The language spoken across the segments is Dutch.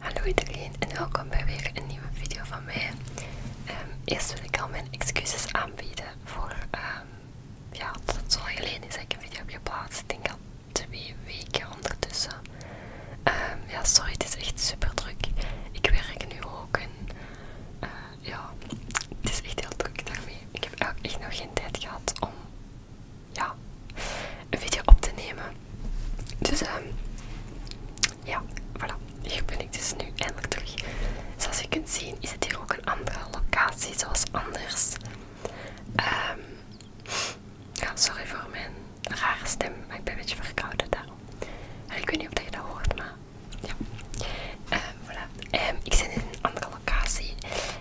Hallo iedereen en welkom bij weer een nieuwe video van mij. Ehm, eerst wil ik al mijn excuses aanbieden voor ehm, ja, het zo lang is dat ik een video heb geplaatst. Ik denk al twee weken ondertussen. Ehm, ja, sorry, het is echt super druk. Ik werk nu ook en eh, ja, het is echt heel druk daarmee. Ik heb echt nog geen tijd gehad om ja, een video op te nemen. Dus ehm, ja, voilà. Hier ben ik dus nu eindelijk terug. Zoals je kunt zien is het hier ook een andere locatie, zoals anders. Ehm ja, sorry voor mijn rare stem, maar ik ben een beetje verkouden daarom. En ik weet niet of je dat hoort, maar ja. Ehm voilà. Ehm ik zit in een andere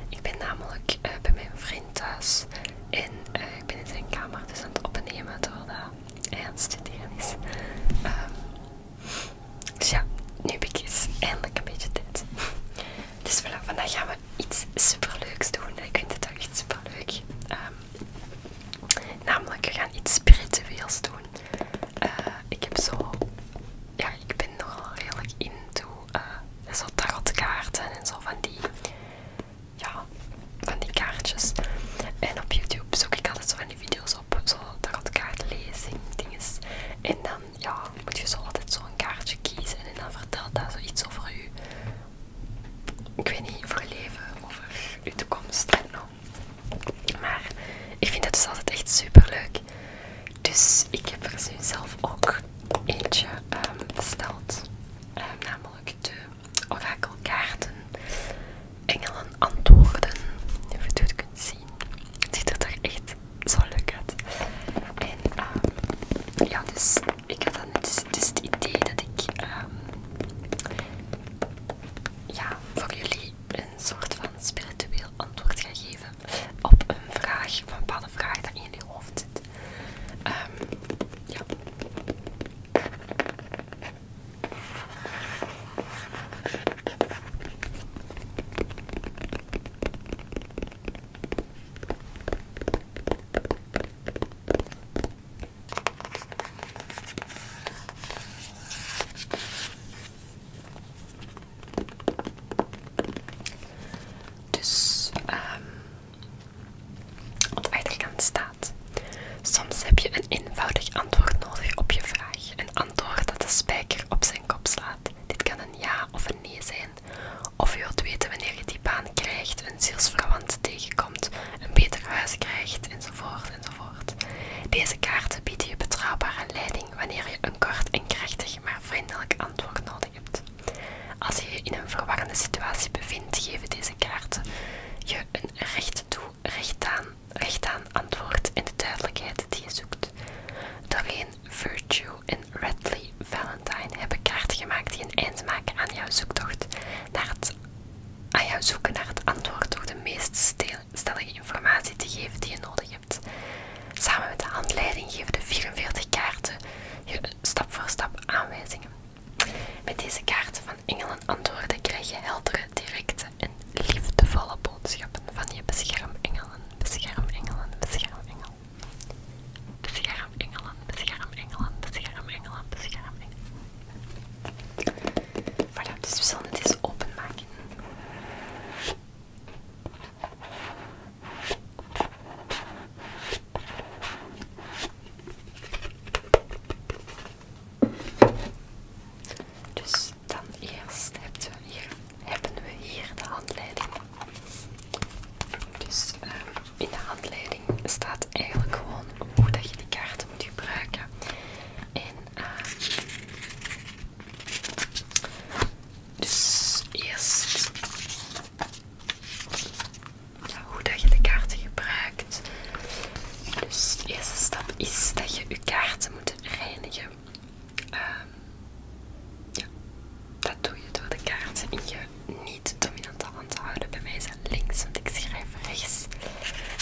ik ben namelijk eh, bij mijn vriend thuis en eh, ik ben in zijn kamer dus aan het opnemen terwijl hij aan het studeren is. Ehm, dus ja, nu heb ik eens eindelijk een beetje tijd. Dus vandaag gaan we iets superleuks doen. Ik vind het ook echt superleuk. Ehm, namelijk, we gaan iets spiritueels doen. Eh, ik heb zo... Ja, ik ben nogal redelijk into uh, eh, zo dus tarotkaarten en zo van die, ja, van die kaartjes. En op YouTube zoek ik altijd zo van die video's op, zo tarotkaartlezing, dinges. En dan, ja, moet je zo altijd zo'n kaartje kiezen en dan vertelt daar zo iets over je, ik weet niet, over je leven, over je toekomst. zo Maar ik vind dat dus altijd echt super leuk. Dus ik heb er nu zelf ook eentje ehm, besteld. Ehm, namelijk de orakelkaarten. Engelen antwoorden. Je weet je het kunt zien. Het ziet er echt zo leuk uit. En ehm, ja, dus ik heb dan dus, dus het idee dat ik ja, voor jullie een soort van spiritueel antwoord ga geven op een vraag, van een paar vraag die in je hoofd zit. Ehm, dus ehm op de achterkant staat: Soms heb je een eenvoudig antwoord nodig op je vraag. Een antwoord dat de spijker op zijn kop slaat. Dit kan een ja of een nee zijn. Of je wilt weten wanneer je die baan krijgt, een zielsverwant tegenkomt, een beter huis krijgt, enzovoort, enzovoort. Deze kaarten bieden je betrouwbare leiding wanneer je een kort en krachtig, maar vriendelijk als je je in een verwarrende situatie bevindt, geven deze kaarten je een recht toe, recht aan, antwoord en de duidelijkheid die je zoekt. Doreen, Virtue en Radley Valentine hebben kaarten gemaakt die een eind maken aan jouw zoektocht naar het aan zoeken naar het antwoord door de meest stellige informatie te geven die je nodig hebt. Je hebt. Samen met de handleiding geven de 44 kaarten je stap voor stap aanwijzingen. Met deze kaarten van engelen antwoorden krijg je heldere, directe en liefdevolle boodschappen van je beschermengelen, beschermengelen, beschermengelen. Beschermengelen, beschermengelen, beschermengelen, beschermengelen. Voilà, dus we zullen het eens openmaken. Dus dan eerst hebben we hier, hebben we hier de handleiding. Dus ehm, in de handleiding staat eigenlijk gewoon hoe dat je die kaart moet gebruiken. En ehm, dus eerst hoe dat je de kaarten gebruikt. Dus de eerste stap is dat je je kaarten moet reinigen. Ehm, dat doe je door de kaarten in je niet-dominante hand te houden. Bij mij is links, want ik schrijf rechts.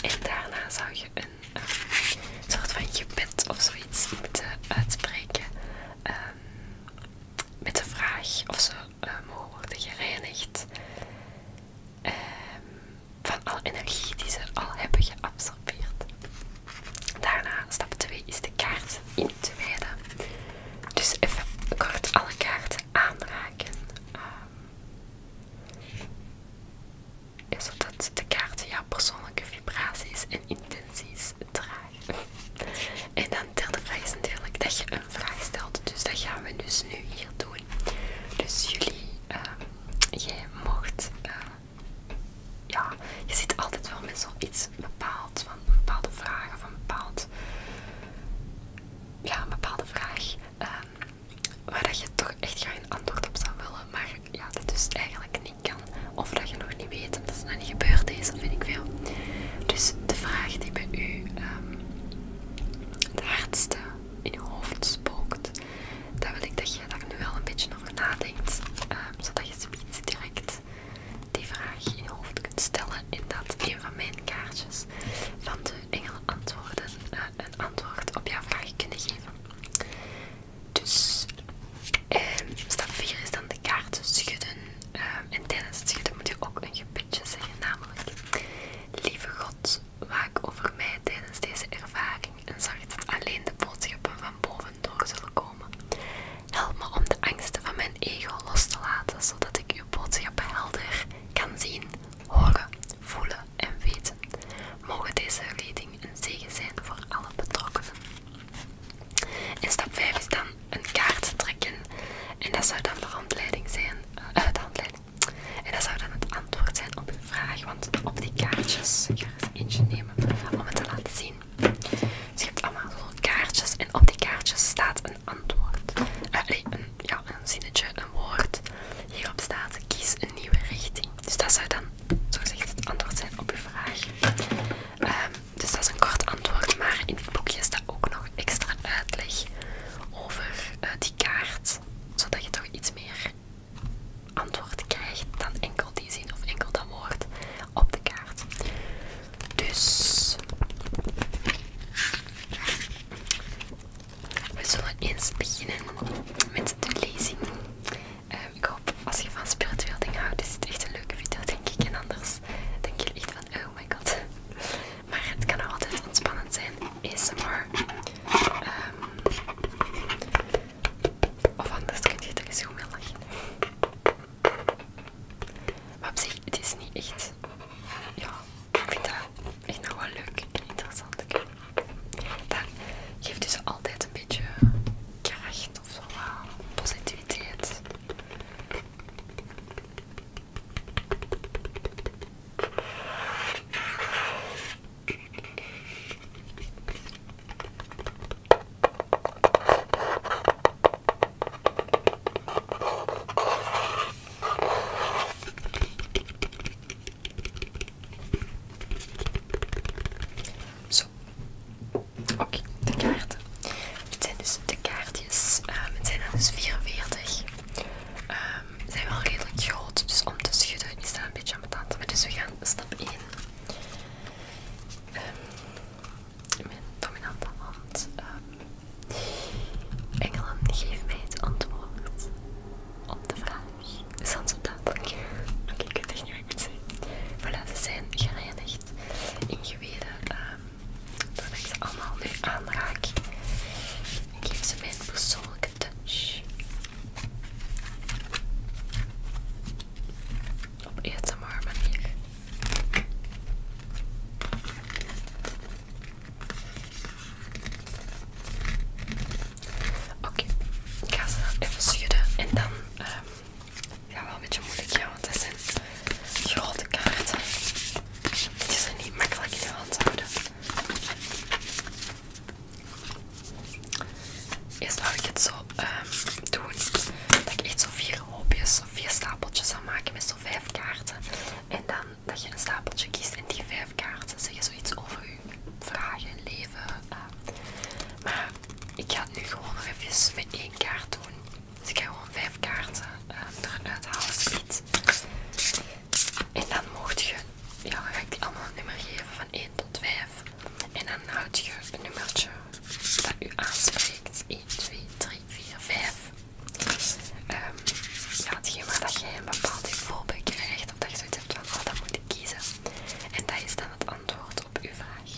En daarna zou je een ehm, soort van je gebed of zo zoiets moeten uitspreken ehm, met de vraag of ze eh, mogen worden gereinigd ehm, van alle energie die ze al hebben geabsorbeerd. Daarna, stap 2 is de kaart in te wijden. Dus even kort alle kaarten aanraken. zodat ehm, de kaarten jouw persoonlijke vibraties en intenties dragen. En dan de derde vraag is natuurlijk dat je een vraag stelt. Dus dat gaan we dus nu hier doen. Dus jullie, eh, jij mocht, eh, ja, je ziet altijd wel met iets bepaald, van bepaalde vragen van een bepaald, ja, een bepaalde vraag. Ehm, waar dat je toch echt geen antwoord op zou willen, maar ja, dat dus eigenlijk niet kan. Of dat je nog niet weet omdat het nog niet gebeurd is, dat vind ik veel. Dus de vraag die bij u het ehm, hardste in je hoofd spookt, daar wil ik dat je daar nu wel een beetje over nadenkt. Ehm, zodat je zoiets direct die vraag in je hoofd kunt stellen. En dat een van mijn kaartjes van de Engel antwoorden eh, een antwoord op jouw vraag kunnen geven. Dus ehm, stap 4 is dan de kaarten schudden. Ehm, en tijdens het schudden moet je ook een gebedje zeggen, namelijk Lieve God, waak over mij tijdens deze ervaring en zorg dat alleen de boodschappen van boven door zullen komen. Help me om de angsten van mijn ego los te laten, zodat ik uw boodschappen helder kan zien, horen, voelen en weten. Mogen deze leiding een zegen zijn voor alle betrokkenen. En stap 5 is dan een kaart trekken. En dat zou dan de handleiding zijn. Eh, en dat zou dan het antwoord zijn op uw vraag. Want op die kaartjes, ik ga er eens eentje nemen om het te laten zien. Dus je hebt allemaal zo'n kaartjes en op die kaartjes staat een antwoord. Eh, nee, ja, een zinnetje, een woord. Hierop staat kies een nieuwe richting. Dus dat zou dan gezegd het antwoord zijn op uw vraag. Ehm, dus dat is een kort antwoord, maar in het boekje staat ook nog extra uitleg over eh, die kaart, zodat je toch iets meer antwoord krijgt dan enkel die zin of enkel dat woord op de kaart. Dus we zullen eens beginnen met de lezing. Ehm, ik hoop, als je van spiritueel dingen houdt, is het echt een leuke video, denk ik. En anders denk je echt van, oh my god. Maar het kan altijd ontspannend zijn. ASMR. Ehm of anders kun je het eens mee lachen. Maar op zich, het is niet echt... Ja, ik vind dat echt nog wel leuk en interessant. Ik dan geeft hij dus ze altijd een beetje kracht of eh, positiviteit. Zo. Oké, de kaarten. Het zijn dus de kaartjes. Ehm, het zijn er dus 44. Ehm, ze zijn wel redelijk groot, dus om te schudden is staat een beetje aan ambetant. Maar dus we gaan stap 1. Ehm, mijn dominante hand. Engeland geef mij het antwoord op de vraag. Is dat zo dat? Oké, okay, ik het echt niet wat ik moet zeggen. Voilà, ze zijn gereinigd in geweden. Um, ehm, ik ze allemaal nu aanraak, ik geef ze mijn persoonlijke touch. Op ASMR manier. Oké, Oké, ik ga ze even schudden en dan. Eh, ja, wel een beetje moeilijk, ja, want het zijn grote kaarten. Die zijn zijn niet makkelijk in de hand houden. Eerst wou ik het zo ehm, doen dat ik echt zo vier hoopjes of vier stapeltjes zou maken met zo vijf kaarten. En dan dat je een stapeltje kiest en die vijf trefkaart zeggen zoiets over uw vragen, leven. Ehm, maar ik ga het nu gewoon even met één kaart doen. Dus ik ga gewoon vijf kaarten ehm, eruit halen, zoiets. En dan mocht je, ja, dan ga ik die allemaal een nummer geven van 1 tot 5. En dan houd je het nummertje dat u aanspreekt. 1, 2, 3, 4, 5. Um, ja, hetgeen waar dat jij een bepaald gevoel krijgt, op dat je zoiets hebt van, oh, dat moet kiezen. En dat is dan het antwoord op uw vraag.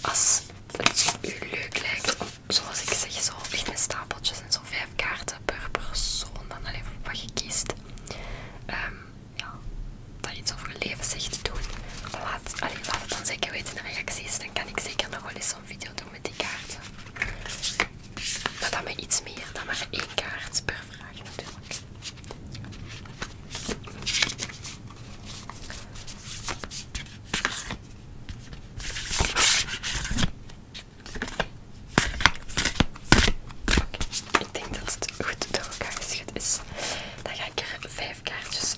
Als het u leuk lijkt zoals ik zeg, zo in stapeltjes en zo vijf kaarten per persoon, dan alleen wat je kiest, ehm, ja, dat iets over je leven zegt, doen. Laat, alleen laat het dan zeker weten in de reacties, dan kan ik zeker nog wel eens zo'n video doen met die kaarten. Maar dan met iets meer dan maar één kaart per vraag natuurlijk ik denk dat het goed door elkaar is. Dan ga ik er vijf kaartjes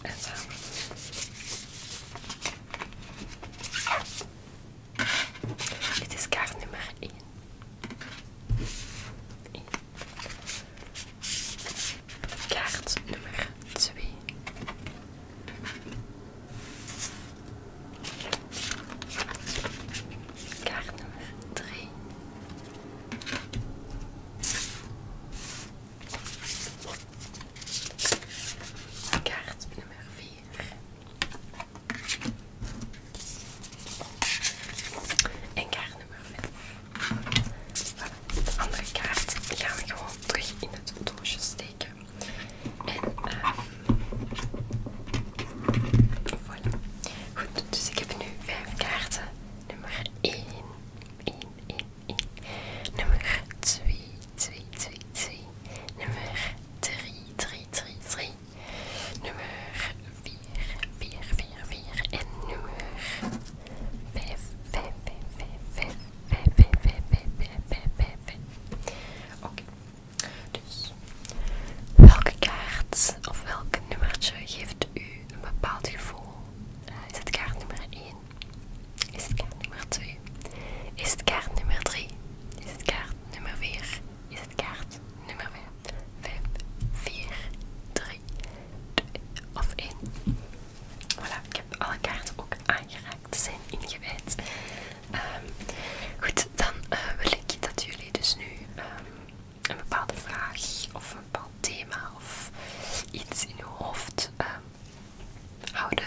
is kaart nummer Kaart nummer 2. Kaart nummer 3. Kaart nummer 4. En kaart nummer 5. Voilà. De andere kaart gaan we gewoon terug in het doosje steken. En uh, voilà. Goed, dus ik heb nu 5 kaarten. Nummer 1, 1, 1, 1. Nummer 2, 2, 2, 2. Nummer 3, 3, 3, 3. Nummer 4, 4, 4, 4. En nummer 5, 5, 5, 5, 5, 5, 5, 5, 5, 5, 5. Oké. Dus, welke kaart of welk nummertje geeft u een bepaald gevoel? is het kaart nummer 1? Is het kaart nummer 2? Is het kaart nummer 3? Is het kaart nummer 4? Is het kaart nummer 5? 5, 4, 3, 2 of 1. Voilà, ik heb alle kaarten ook aangeraakt. Ze zijn ingewijd. Ehm, goed, dan eh, wil ik dat jullie dus nu ehm, een bepaalde vraag of een bepaald thema of iets in uw hoofd ehm, houden.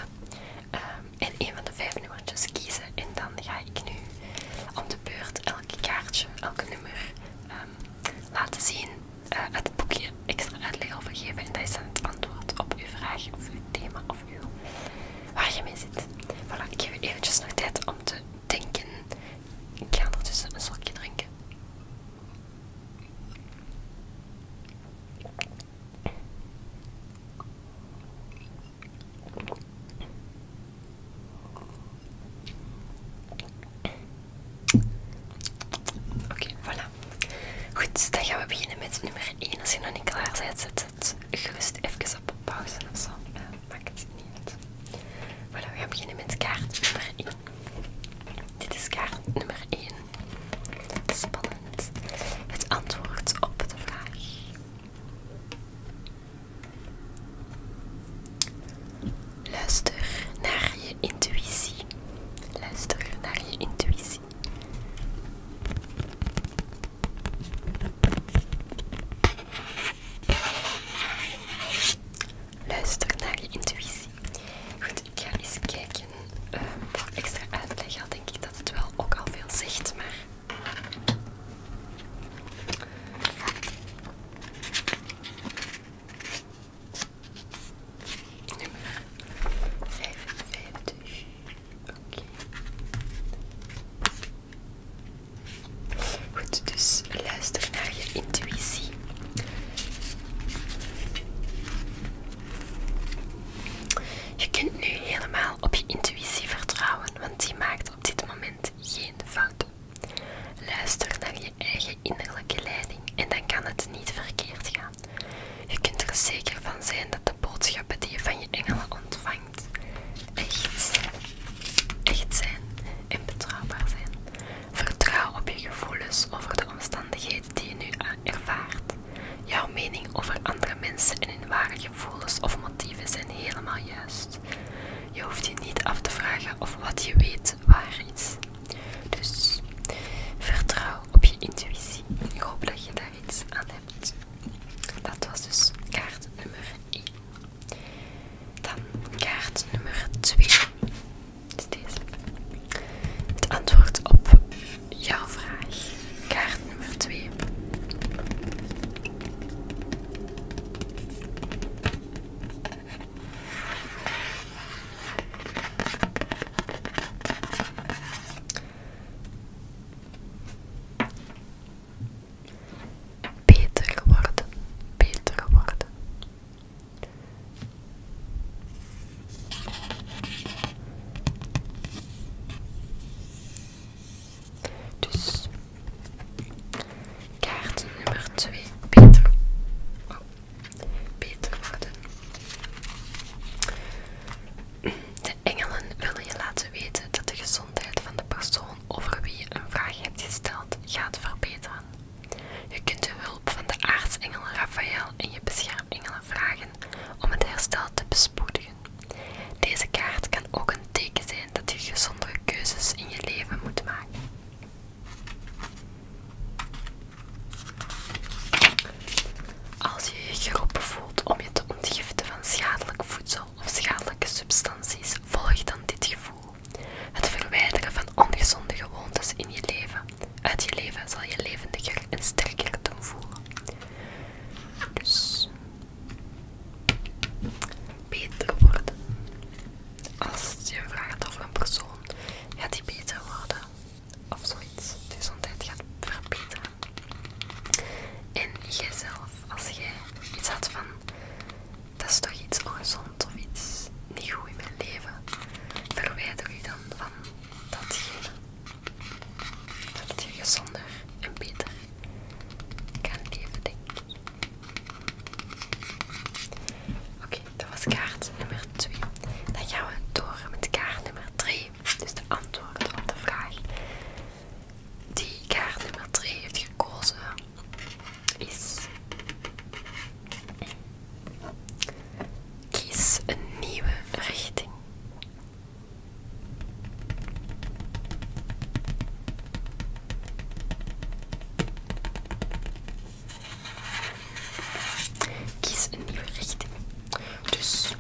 en een van de vijf nummertjes kiezen. En dan ga ik nu om de beurt elke kaartje, elke nummer ehm, laten zien, uit eh, het boekje extra uitleg over geven. En dat is het antwoord op uw vraag of uw thema of uw, waar je mee zit. Voilà, ik geef je eventjes nog tijd om te denken. Ik ga ondertussen een slokje drinken. Oké, voilà. Goed, dan gaan we beginnen met nummer 1. Als je nog niet klaar bent, zet het gerust even op pauze of zo. maakt het niet Voilà, we gaan beginnen met kaart nummer 1. Dit is kaart nummer 1. Spannend. Het antwoord op de vraag. Luister naar je intuïtie. Luister naar je intuïtie. Luister naar je intuïtie. Goed, ik ga eens kijken. Ehm, voor extra uitleg al denk ik dat het wel ook al veel zegt, maar Oké. Goed, dus luister naar je intuïtie. Je kunt nu helemaal op je intuïtie vertrouwen, want die maakt op dit moment geen fouten. Luister naar je eigen innerlijke leiding en dan kan het niet verkeerd gaan. Je kunt er zeker van zijn dat de boodschappen die je van je engelen ontvangt echt, echt zijn en betrouwbaar zijn. Vertrouw op je gevoelens over de omstandigheden die je nu ervaart. Jouw mening over andere mensen en waar je gevoelens of motieven zijn helemaal juist. Je hoeft je niet af te vragen of wat je weet waar is. Dus vertrouw op je intuïtie. Ik hoop dat je daar iets aan hebt. Dat was dus kaart nummer 1. Dan kaart nummer 2. Is deze. Het antwoord op jouw vraag. Kaart nummer twee. Beter geworden. beter geworden. Dus kaart nummer 2 beter, Peter beter oh, worden. De engelen willen je laten weten dat de gezondheid van de persoon over wie je een vraag hebt gesteld gaat verbeteren. Je kunt de hulp van de aartsengel Raphaël en je beschermengel vragen om het herstel te bespreken deze kaart kan ook een teken zijn dat je gezondere keuzes in je leven moet maken. Als je je geroepen voelt om je te ontgiften van schadelijk voedsel of schadelijke substanties, volg dan dit gevoel. Het verwijderen van ongezonde gewoontes in je leven, uit je leven zal je levendiger en sterker doen voelen. Dus beter worden. Als je vraagt over een persoon, gaat die beter worden. Of zoiets. De gezondheid gaat verbeteren. En jijzelf, als jij iets had van, dat is toch iets ongezond of iets niet goed in mijn leven, verwijder je dan van datgene. Dat je gezonder en beter kan leven, denk ik. Oké, dat was kaart nummer 2. Dan gaan we door met kaart nummer 3. Dus de antwoord op de vraag die kaart nummer 3 heeft gekozen is... Kies een nieuwe richting. Kies een nieuwe richting. Dus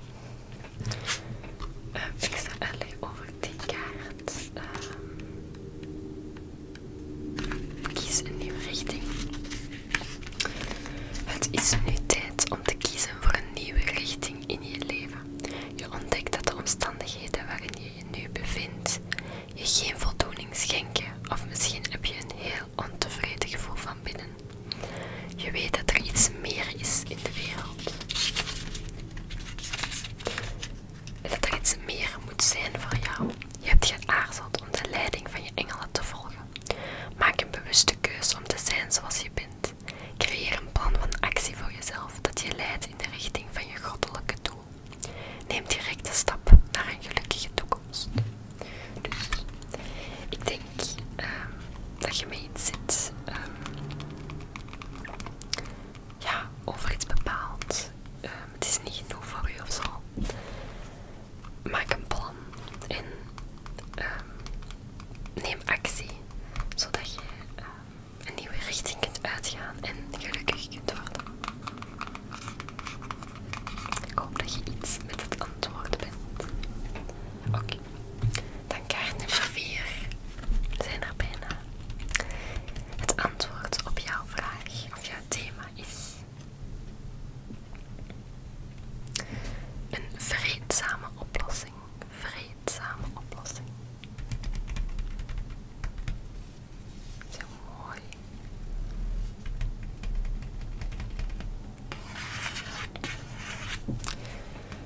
ehm, ik zal alleen over die kaart. Ehm, kies een nieuwe richting. Het is nu tijd om te kiezen voor een nieuwe richting in je leven. Je ontdekt dat de omstandigheden waarin je je nu bevindt je geen voldoening schenken, of misschien heb je een heel ontevreden gevoel van binnen. Je weet dat er iets meer is in de wereld. Dat er iets meer moet zijn voor jou. Je hebt geaarzeld om de leiding van je engelen te volgen. Maak een bewuste keuze om te zijn zoals je bent. Creëer een plan van actie voor jezelf dat je leidt in de richting van je goddelijke doel. Neem direct de stap naar een gelukkige toekomst. Dus, ik denk ehm, dat je mee zit ehm, ja, over iets bepaald. Ehm, het is niet genoeg voor u of zo. Maak een plan en neem actie zodat je eh, een nieuwe richting kunt uitgaan en gelukkig kunt worden. Ik hoop dat je iets met het antwoord bent. Oké, okay. dan kaart nummer 4. Zijn er bijna. Het antwoord op jouw vraag of jouw thema is een vreedzame oplossing oplossing, vreedzame oplossing. Zo mooi.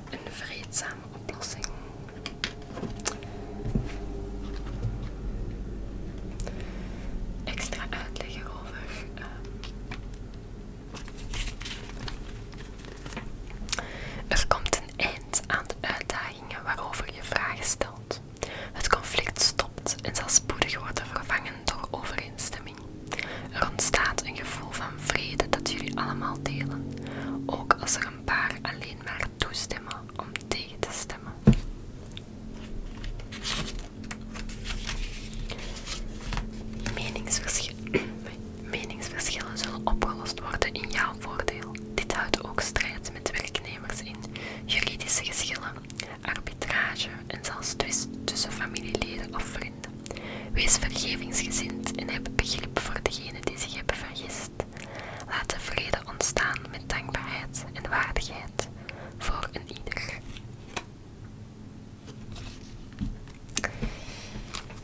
Een vreedzame oplossing. Extra uitleg over ehm, er komt een eind aan de uitdagingen waarover je vragen stelt. Het conflict stopt en zelfs spoedig worden vervangen door overeenstemming. Er ontstaat een gevoel van vrede dat jullie allemaal delen, ook als er een paar alleen maar toestemmen om tegen te stemmen. Meningsverschillen. Meningsverschillen zullen opgelost worden in jouw voordeel. Dit houdt ook strijd met werknemers in, juridische geschillen, arbitrage en zelfs twist tussen familieleden of vrienden. Wees vergevingsgezind en heb begrip voor degenen die zich hebben vergist. Laat de vrede ontstaan met dankbaarheid en waardigheid voor een ieder.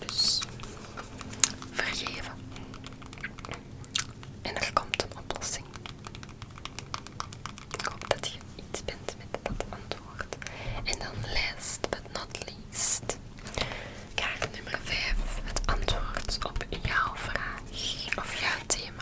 Dus vergeven. En er komt een oplossing. Ik hoop dat je iets bent met dat antwoord. En dan last but not least. nummer 5. Het antwoord op jouw vraag of jouw thema.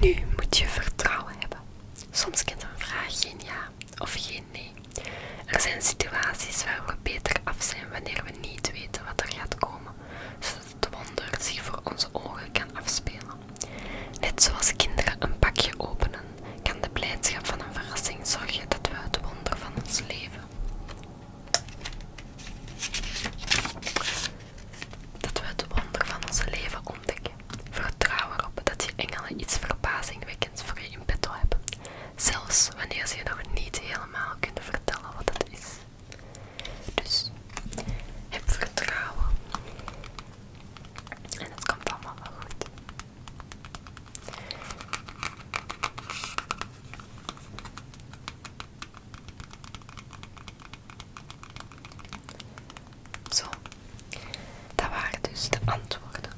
Nu moet je vertrouwen hebben. Soms kent een vraag geen ja of geen nee. Er zijn situaties waar we beter af zijn wanneer we niet weten wat er gaat komen, zodat het wonder zich voor onze ogen kan afspelen. Net zoals kinderen een pakje openen, kan de blijdschap van een verrassing zorgen dat we het wonder van ons leven dat we het wonder van onze leven ontdekken. Vertrouw erop dat je engelen iets verbazingwekkends voor je in petto hebben, zelfs wanneer ze je nog niet helemaal kunnen vertellen wat het is. Dus heb vertrouwen en het komt allemaal wel goed. Zo, dat waren dus de antwoorden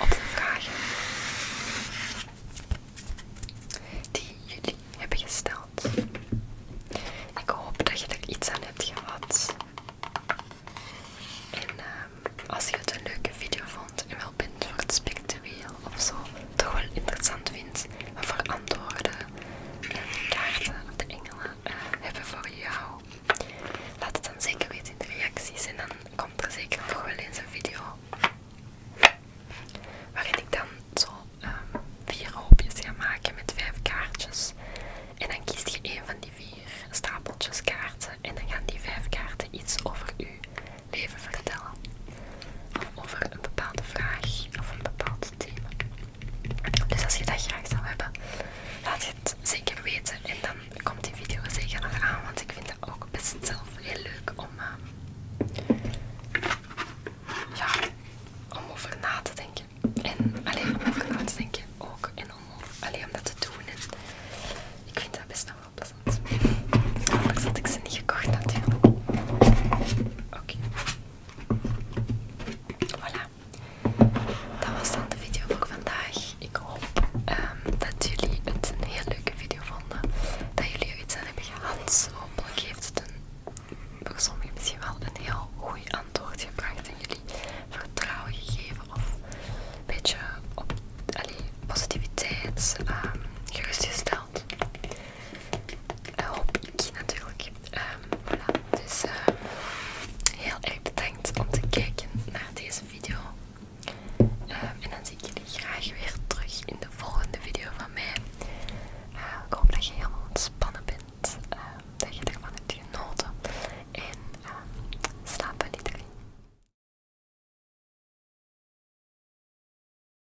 op de vragen die jullie hebben gesteld. Ik hoop dat je er iets aan hebt gehad. En ehm, als je het een leuke video vond en wel bent voor het spiritueel of zo, toch wel interessant vindt, maar antwoorden en kaarten of de engelen eh, hebben voor jou. Laat het dan zeker weten in de reacties en dan komt er zeker nog wel eens een video waarin ik dan zo ehm, vier hoopjes ga maken met vijf kaartjes. En dan kiest je een van die vier stapeltjes kaarten en dan gaan die vijf kaarten iets over uw leven vertellen over een bepaalde vraag of een bepaald thema. Dus als je dat graag zou hebben, laat het zeker weten en dan komt die video zeker nog aan, want ik vind dat ook best zelf heel leuk om, eh, ja, om over na te denken. En alleen om over na te denken ook en om, alleen om dat te doen. En ik vind dat best wel passend. Hopelijk had ik ze niet gekocht natuurlijk. Oké. Voilà. Dat was dan de video voor vandaag. Ik hoop ehm, dat jullie het een heel leuke video vonden. Dat jullie er iets aan hebben gehad. Hopelijk heeft het een, voor sommigen misschien wel een heel goed antwoord gebracht. En jullie vertrouwen gegeven. Of een beetje positiviteit ehm, gerustgesteld hoop eh, ik natuurlijk. Ehm, dus ehm, heel erg bedankt om te kijken naar deze video. Ehm, en dan zie ik jullie graag weer terug in de volgende video van mij. Eh, ik hoop dat je helemaal ontspannen bent. dat je ervan hebt genoten. En uh, slaap die iedereen.